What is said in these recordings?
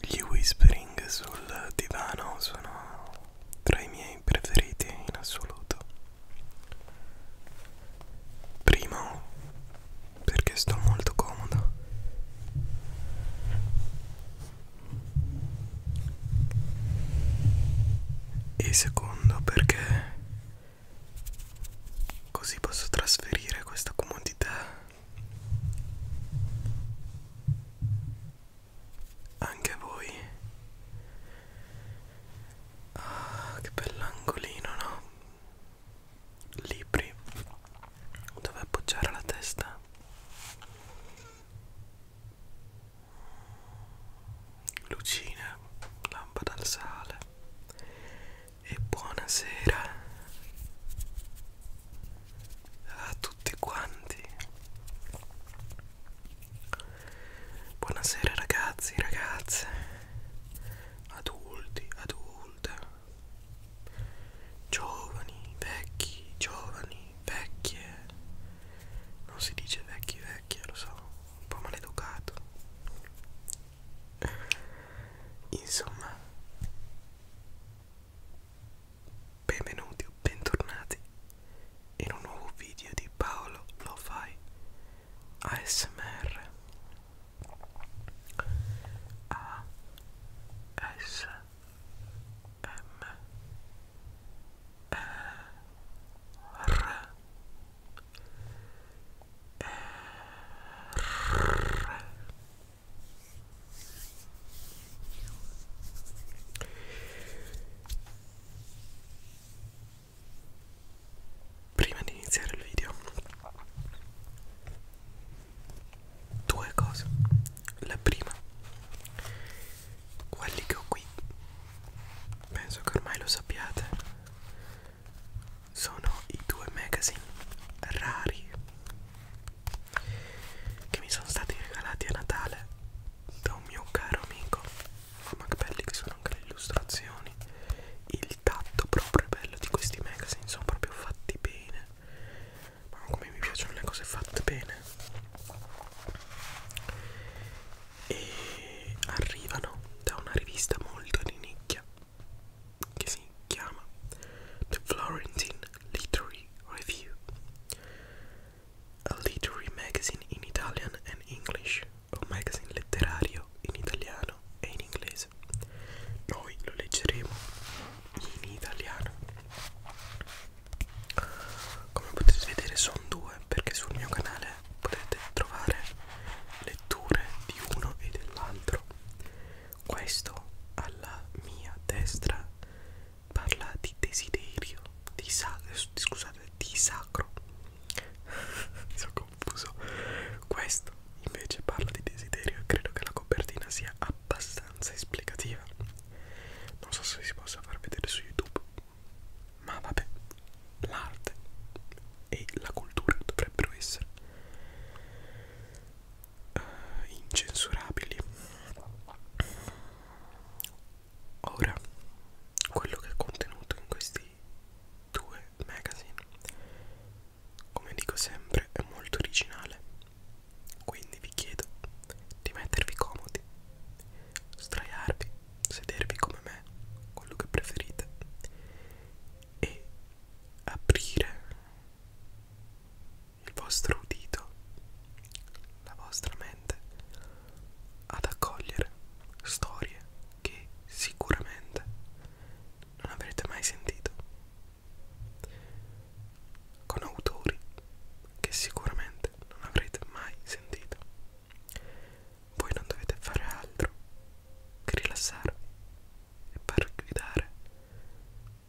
Gli whispering sul divano sono tra i miei preferiti in assoluto. Primo perché sto molto comodo e secondo perché così posso trasferire questa comodità anche a voi ah che bell'angolino no libri dove appoggiare la testa lucine, lampada al sale e buonasera a tutti quanti. Buonasera ragazzi, ragazze, adulti, adulte, giovani, vecchi, giovani, vecchie. Non si dice vecchi, vecchie, lo so un po' maleducato insomma benvenuti o bentornati in un nuovo video di Paolo lo fai ASMR A S M Prima di iniziare il video, due cose. La prima quelli che ho qui penso che ormai lo sappiate sono i due magazine rari che mi sono stati regalati a Natale da un mio caro amico ma che belli che sono anche le illustrazioni il tatto proprio bello di questi magazine sono proprio fatti bene ma come mi piacciono le cose fatte bene e arrivano da una rivista molto di nicchia che si chiama The Florentine Literary Review, a literary magazine in Italian and English, un magazine letterario in italiano e in inglese. Noi lo leggeremo in italiano. Come potete vedere sono due perché sul mio canale potete trovare letture di uno e dell'altro. Questo alla mia destra parla di desiderio, di, sa scusate, di sacro. Mi sono confuso. Questo invece parla di desiderio e credo che la copertina sia abbastanza esplicativa. Non so se si possa far vedere su YouTube, ma vabbè, l'arte e la cultura dovrebbero essere uh, incensurabili. Ora, quello che è contenuto in questi due magazine, come dico sempre, è molto originale. Quindi vi chiedo di mettervi comodi, sdraiarvi sedervi come me, quello che preferite, e aprire il vostro udito, la vostra mente, ad accogliere storie che sicuramente non avrete mai sentito, con autori che sicuramente non avrete mai sentito voi non dovete fare altro che rilassarvi e far guidare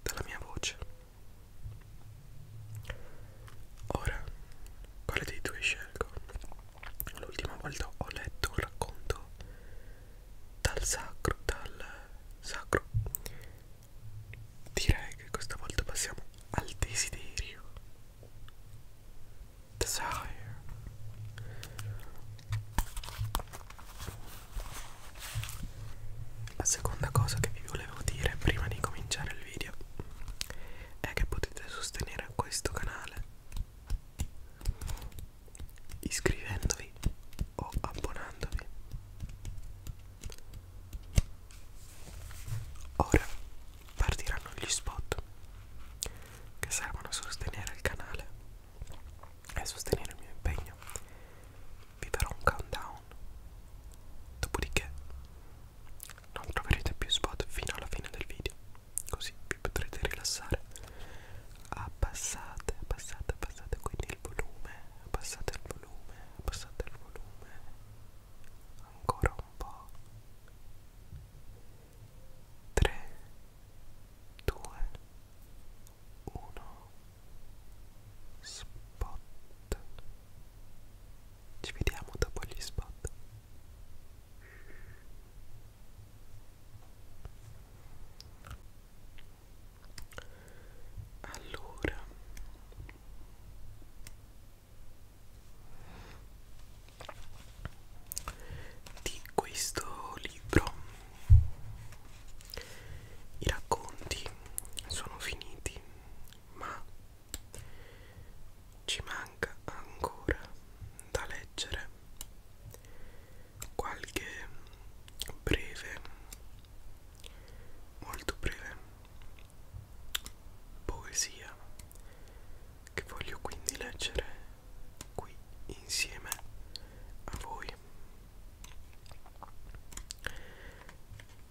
dalla mia voce. Ora, quale dei due scelgo? L'ultima volta ho letto un racconto dal sacro, dal sacro. Direi che questa volta passiamo al desiderio desire. La seconda cosa che vi volevo dire prima di cominciare il video è che potete sostenere questo canale iscrivendovi o abbonandovi. Ora partiranno gli spot che servono a sostenere il canale e sostenere il mio impegno. Vi farò un countdown, dopodiché non troverete più spot fino alla fine del video, così vi potrete rilassare. Abbassate, abbassate, abbassate quindi il volume, abbassate il volume, abbassate il volume ancora un po' 3, 2, 1, spot. Ci vediamo dopo gli spot. Allora, di questo libro i racconti sono finiti ma ci manca ancora da leggere qualche breve molto breve poesia che voglio quindi leggere qui insieme a voi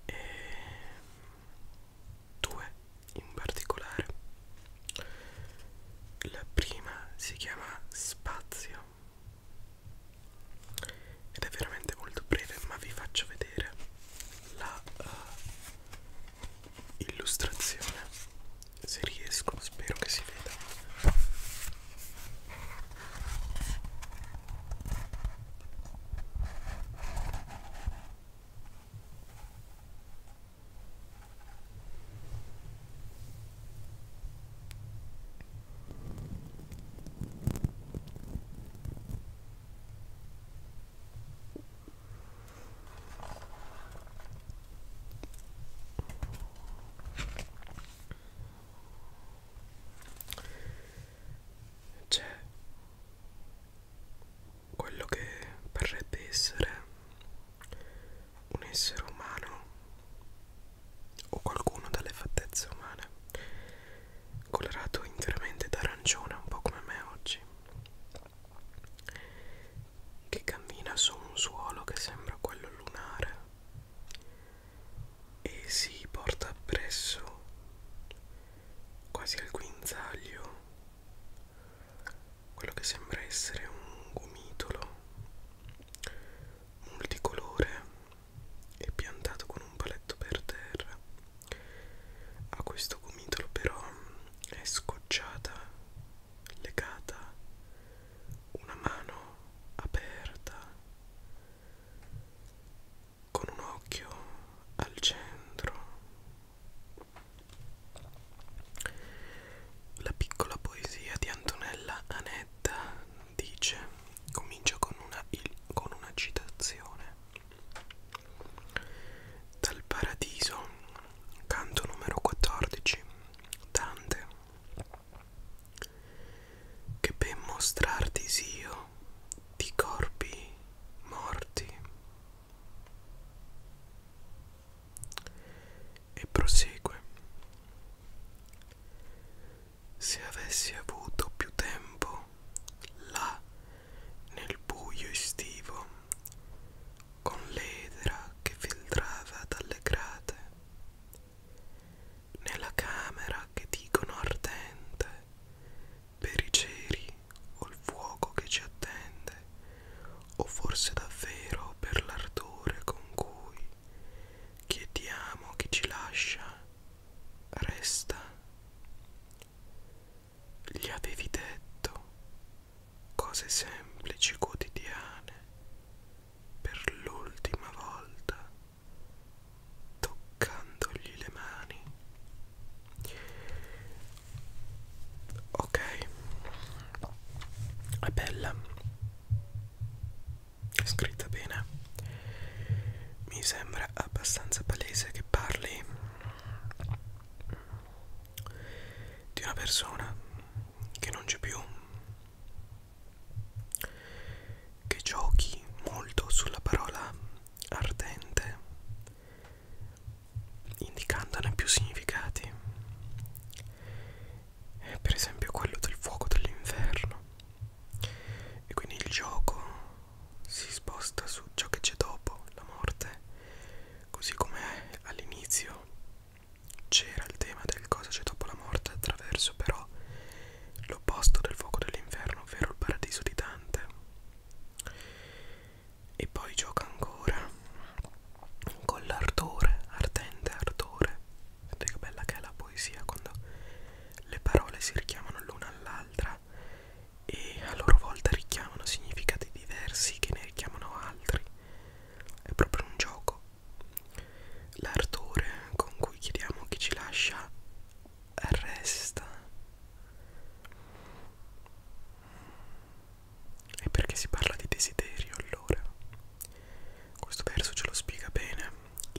e due in particolare la prima si chiama spazio ed è veramente molto breve ma vi faccio vedere la uh, illustrazione se riesco spero che si veda c'è quello che parrebbe essere un essere umano o qualcuno dalle fattezze umane, colorato interamente d'arancione, un po' come me oggi che cammina su un suolo che sembra quello lunare e si porta appresso quasi al guinzaglio quello che sembra essere un gomitolo multicolore e piantato con un paletto per terra a questo gomitolo però è scocciata legata, una mano aperta, con un occhio al centro. La piccola poesia di Antonella Anetta dice, comincia con una, il, con una citazione. Dal paradiso Canto numero 14 Dante Che ben mostrarti io di corpi morti E prosegue Se avessi avuto più tempo là nel buio estivo con l'edera che filtrava dalle grate. Nella camera che dicono ardente, per i ceri o il fuoco che ci attende, o forse davvero per l'ardore con cui chiediamo chi ci lascia, resta. Gli avevi detto cose semplici quotidiane, per l'ultima volta, toccandogli le mani. Ok, è bella, è scritta bene, mi sembra abbastanza palese che parli di una persona che non c'è più che giochi molto sulla parola ardente indicandone più significati per esempio quello del fuoco dell'inferno e quindi il gioco si sposta su ciò che c'è dopo la morte così come all'inizio c'era il tema del cosa c'è dopo la morte attraverso però l'opposto del fuoco dell'inferno, ovvero il paradiso di Dante. E poi gioca ancora con l'ardore, ardente ardore. Vedete che bella che è la poesia quando le parole si richiamano l'una all'altra e a loro volta richiamano significati diversi che ne richiamano altri è proprio un gioco. L'ardore con cui chiediamo chi ci lascia resta. E perché si parla di desiderio allora? Questo verso ce lo spiega bene.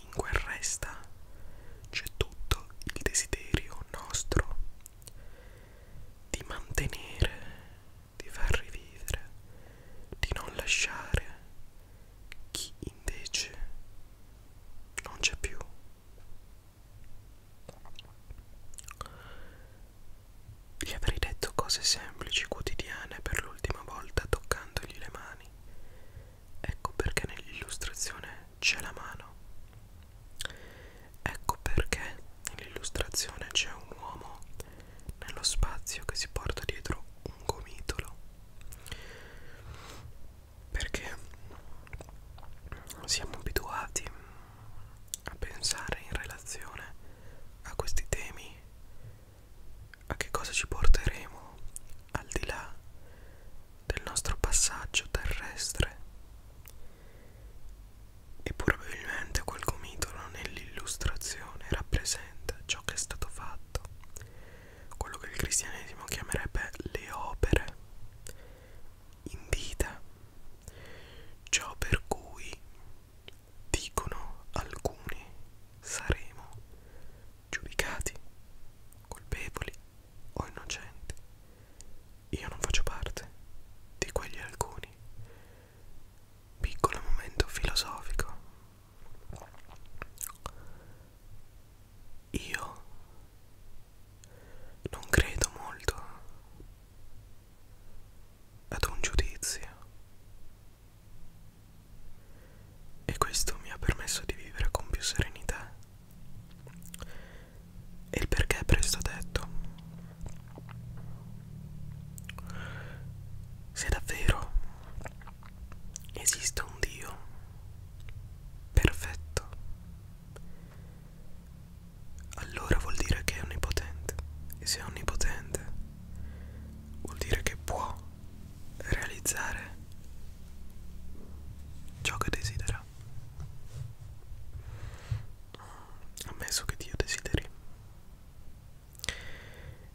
In quel resta c'è tutto il desiderio nostro di mantenere di far rivivere, di non lasciare chi invece non c'è più. Gli avrei detto cose semplici, quotidiane per l'ultima volta toccandogli le mani. Ecco perché nell'illustrazione c'è la mano. Ecco perché nell'illustrazione c'è un uomo nello spazio che si porta dietro un gomitolo perché siamo abituati a pensare in relazione a questi temi a che cosa ci porteremo al di là del nostro passaggio terrestre e probabilmente quel gomitolo nell'illustrazione rappresenta ciò che è stato fatto, quello che il cristianesimo chiamerebbe le opere in vita, ciò per cui dicono alcuni saremo giudicati, colpevoli o innocenti. Io non faccio parte di quegli alcuni, piccolo momento filosofico. Io non credo molto ad un giudizio e questo mi ha permesso di vivere con più serenità. E il perché presto detto. Se davvero esiste un Dio perfetto, allora vuol dire che è onnipotente e se è onnipotente vuol dire che può realizzare ciò che desidera. Ammesso che Dio desideri.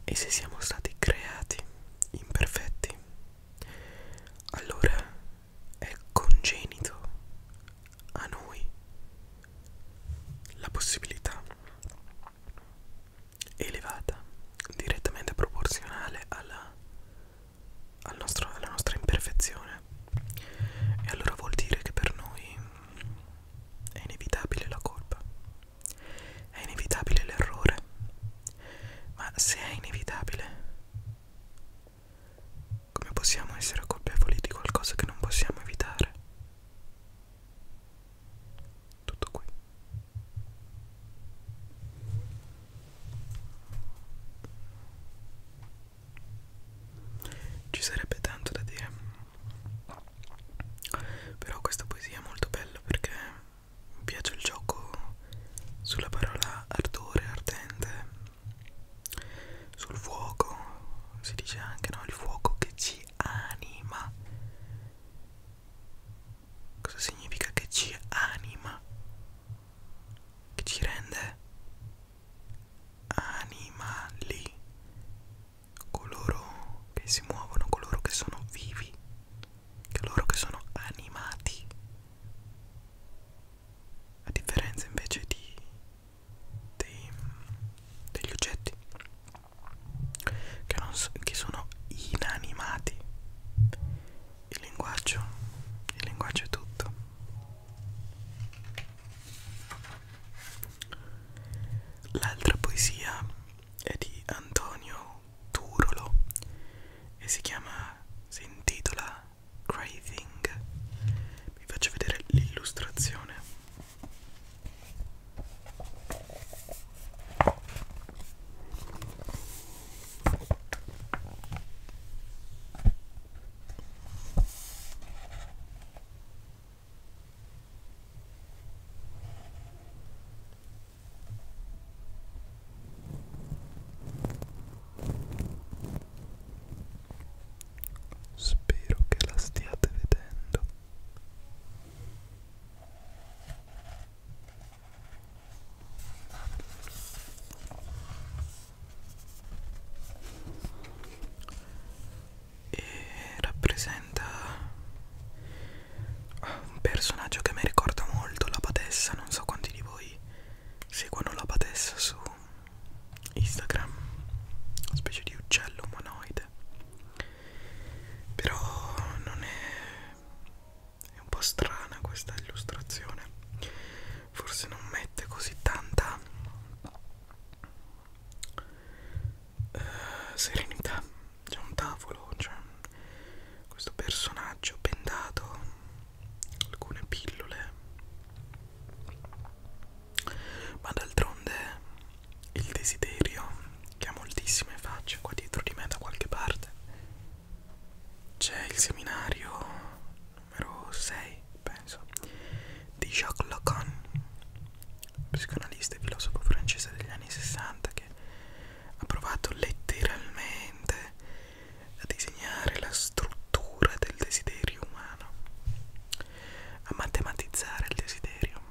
E se siamo stati creati imperfetti, allora è congenito a noi la possibilità elevata, direttamente proporzionale alla, al nostro, alla nostra imperfezione. E allora vuol dire che per noi è inevitabile la colpa, è inevitabile l'errore, ma se è inevitabile, come possiamo essere colpevoli di qualcosa che non possiamo evitare? Tutto qui. Ci sarebbe tanto da dire. Però questa poesia è molto bella perché mi piace il gioco sulla parola ardore, ardente, sul fuoco, si dice anche no, il fuoco che ci anima. Cosa significa che ci anima? Che ci rende animali coloro che si muovono, coloro che sono vivi, coloro che sono animati, a differenza invece di, di, degli oggetti che, non, che sono inanimati. Il linguaggio, il linguaggio è tutto. L'altra poesia è di Antonio Turolo e si chiama, si intitola Craving. Vi faccio vedere l'illustrazione. Spero che la stiate vedendo e rappresenta un personaggio che mi ricorda molto la Patessa, non so quanti di voi seguono la Patessa su Instagram, una specie di uccello umanoide, però non è, è un po' strana questa illustrazione, forse non mette così tanta eh, serenità c'è un tavolo c'è questo personaggio pendato alcune pillole ma d'altronde il desiderio che ha moltissime facce qua dietro di me da qualche parte c'è il seminario numero 6 penso di Jacques Lacan psicanalista e filosofo francese degli anni 60 che ha provato letteralmente a disegnare la struttura del desiderio umano, a matematizzare il desiderio.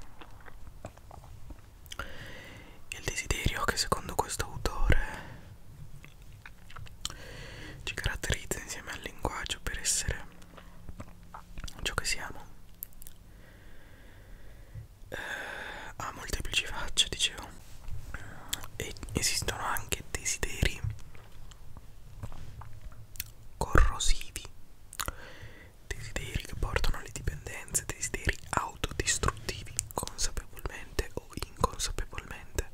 Il desiderio che secondo questo autore ci caratterizza insieme al linguaggio per essere ciò che siamo eh, ha molteplici facce dicevo e esistono anche desideri corrosivi desideri che portano alle dipendenze desideri autodistruttivi consapevolmente o inconsapevolmente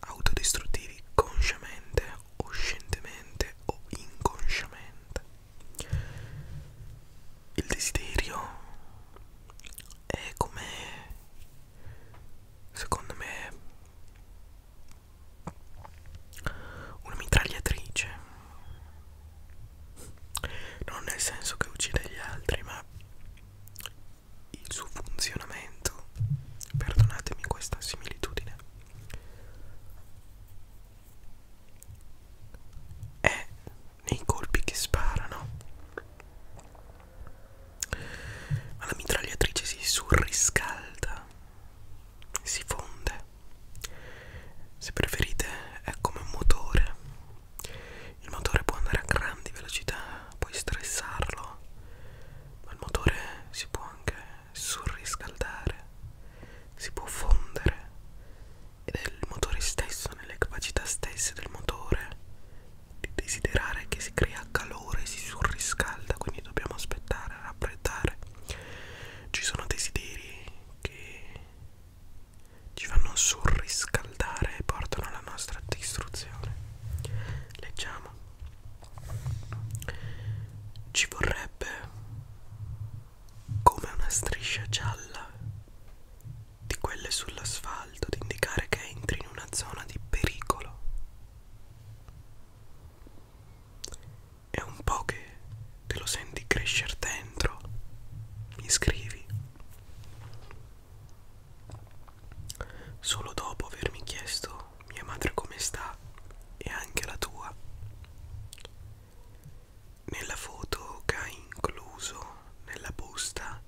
autodistruttivi consciamente o scientemente o inconsciamente il desiderio è come secondo me una mitragliatrice non nel senso che uccide gli altri ma il suo funzionamento perdonatemi questa similitudine è nei colpi che sparano ma la mitragliatrice si surriscalda si fonde se preferite è come un motore il motore può andare a grandi velocità puoi stressarlo ma il motore si può anche surriscaldare si può fondere ed è il motore stesso, nelle capacità stesse del motore, di desiderare che si crea calore, si surriscalda, quindi dobbiamo aspettare, raffreddare. Ci sono desideri che ci fanno surriscaldare e portano alla nostra distruzione. Leggiamo. Ci vorrebbe come una striscia gialla di quelle sull'asfalto ad indicare che entri in una zona di pericolo. È un po' che te lo senti crescere dentro, mi scrivi. Solo dopo avermi chiesto mia madre come sta e anche la tua, nella foto che ha incluso nella busta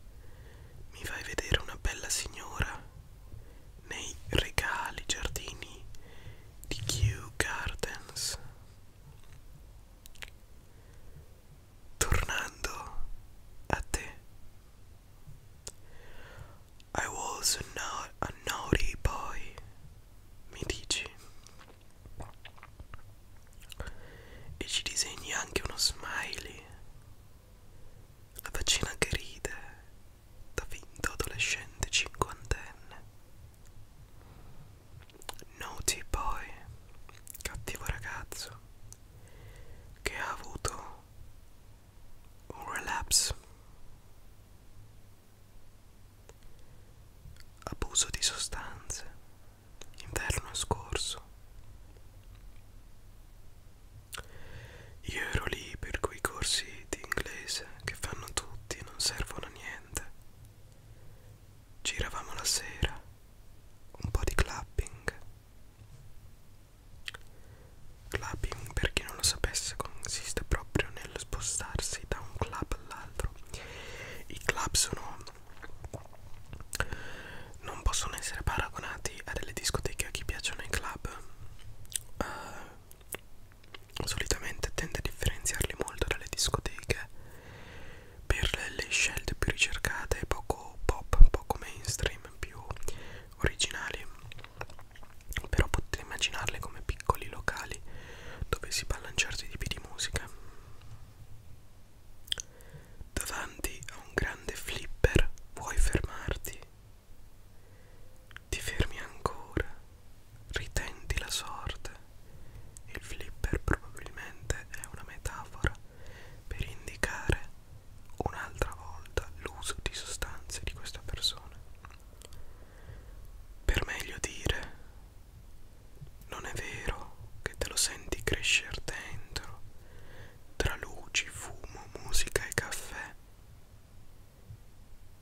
mi fai vedere una bella signora nei regali giardini di Kew Gardens tornando a te I was a, no a naughty boy mi dici e ci disegni anche uno smiley, la faccina che ride da finto adolescente cinquantenne. Noti poi, cattivo ragazzo, che ha avuto un relapse Abuso di sostanze, inverno scorso. Io ero lì per quei corsi di inglese che fanno tutti e non servono a niente. Giravamo la sera, un po' di clapping. Clapping, per chi non lo sapesse, consiste proprio nello spostarsi da un club all'altro dentro i club sono non possono essere paragonati a delle discoteche a chi piacciono i club uh, solitamente tende a differenziarli molto dalle discoteche per le scelte più ricercate poco pop poco mainstream più originali però potete immaginarle come piccoli locali dovessi ballanciarti tipi di musica. Davanti a un grande flipper vuoi fermarti. Ti fermi ancora, ritenti la sorte. Il flipper probabilmente è una metafora per indicare un'altra volta l'uso di sostanze di questa persona. Per meglio dire, non è vero che te lo senti crescer dentro, tra luci, fumo, musica e caffè.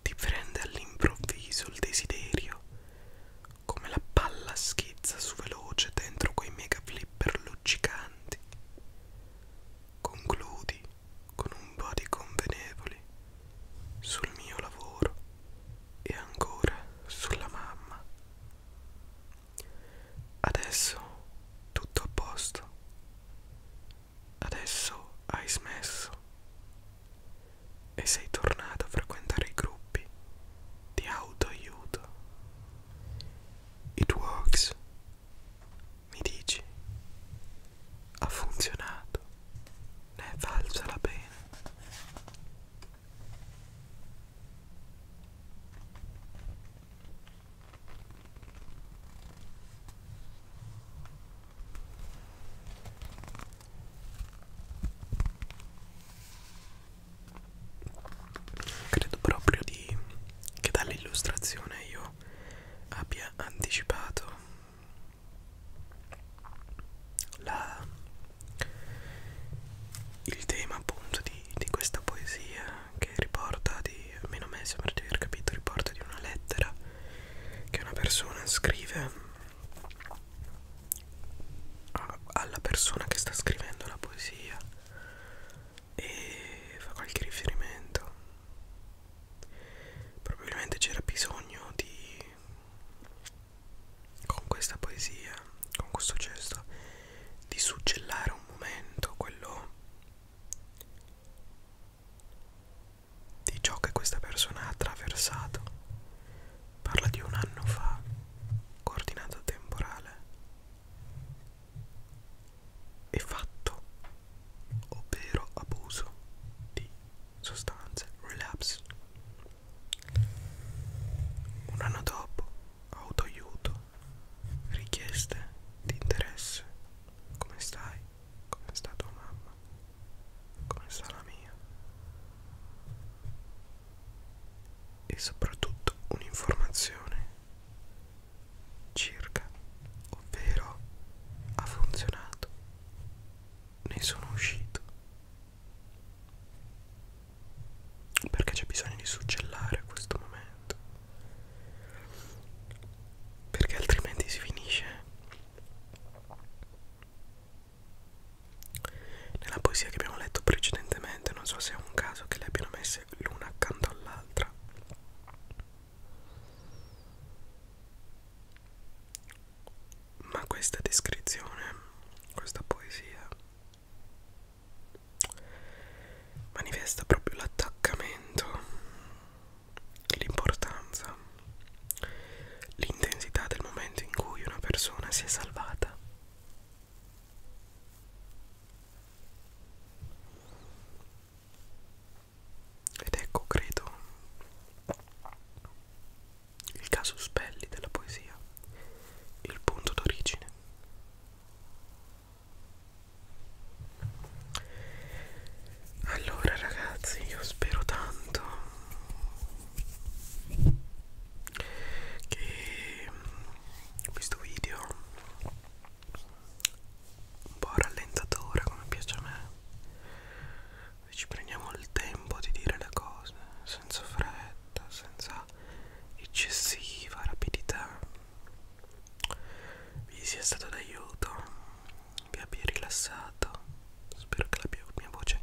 Ti prende all'improvviso il desiderio, come la palla schizza su veloce dentro quei mega flipper luccicanti. Concludi con un po' di convenevoli sul mio lavoro e ancora sulla mamma. Adesso tutto a posto. Adesso hai smesso e sei tornato a frequentare i gruppi di autoaiuto. It works, mi dici. Ha funzionato, ne è valsa la pena. Credo proprio di che dall'illustrazione io abbia anticipato la, il tema appunto di, di questa poesia che riporta di almeno a me sembra di aver capito riporta di una lettera che una persona scrive a, alla persona che sta scrivendo la poesia e fa qualche riferimento probabilmente c'era bisogno di con questa poesia, con questo gesto, di suggellare un momento, quello di ciò che questa persona ha attraversato. Parla di un anno fa, coordinata temporale. E fatto, ovvero abuso di sostanze, relapse un anno dopo, autoaiuto, richieste di interesse. Come stai? Come sta tua mamma? Come sta la mia? E soprattutto un'informazione circa, ovvero ha funzionato. Ne sono uscito perché c'è bisogno di succellare a questo momento perché altrimenti si finisce nella poesia che abbiamo letto precedentemente non so se è un caso che le abbiano messe l'una accanto all'altra ma questa descrizione, questa poesia manifesta proprio l'attaccamento, l'importanza, l'intensità del momento in cui una persona si è salvata. Ed ecco, credo, il caso Spelli della poesia, il punto d'origine. Allora ragazzi, io spero tanto che questo video un po' rallentatore come piace a me ci prendiamo il tempo di dire le cose senza fretta lenta senza eccessiva rapidità vi sia stato d'aiuto vi abbia rilassato spero che la mia, mia voce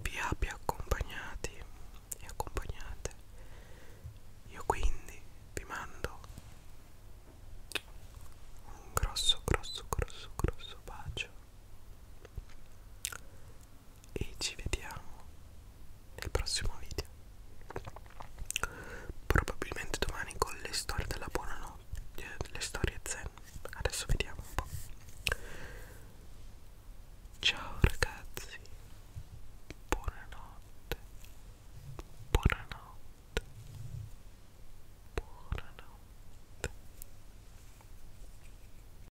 vi abbia accompagnati e accompagnate io quindi vi mando un grosso grosso grosso grosso bacio e ci vediamo nel prossimo video probabilmente domani con le storie della buonanotte eh, le storie zen adesso vediamo un po' ciao ragazzi buonanotte buonanotte buonanotte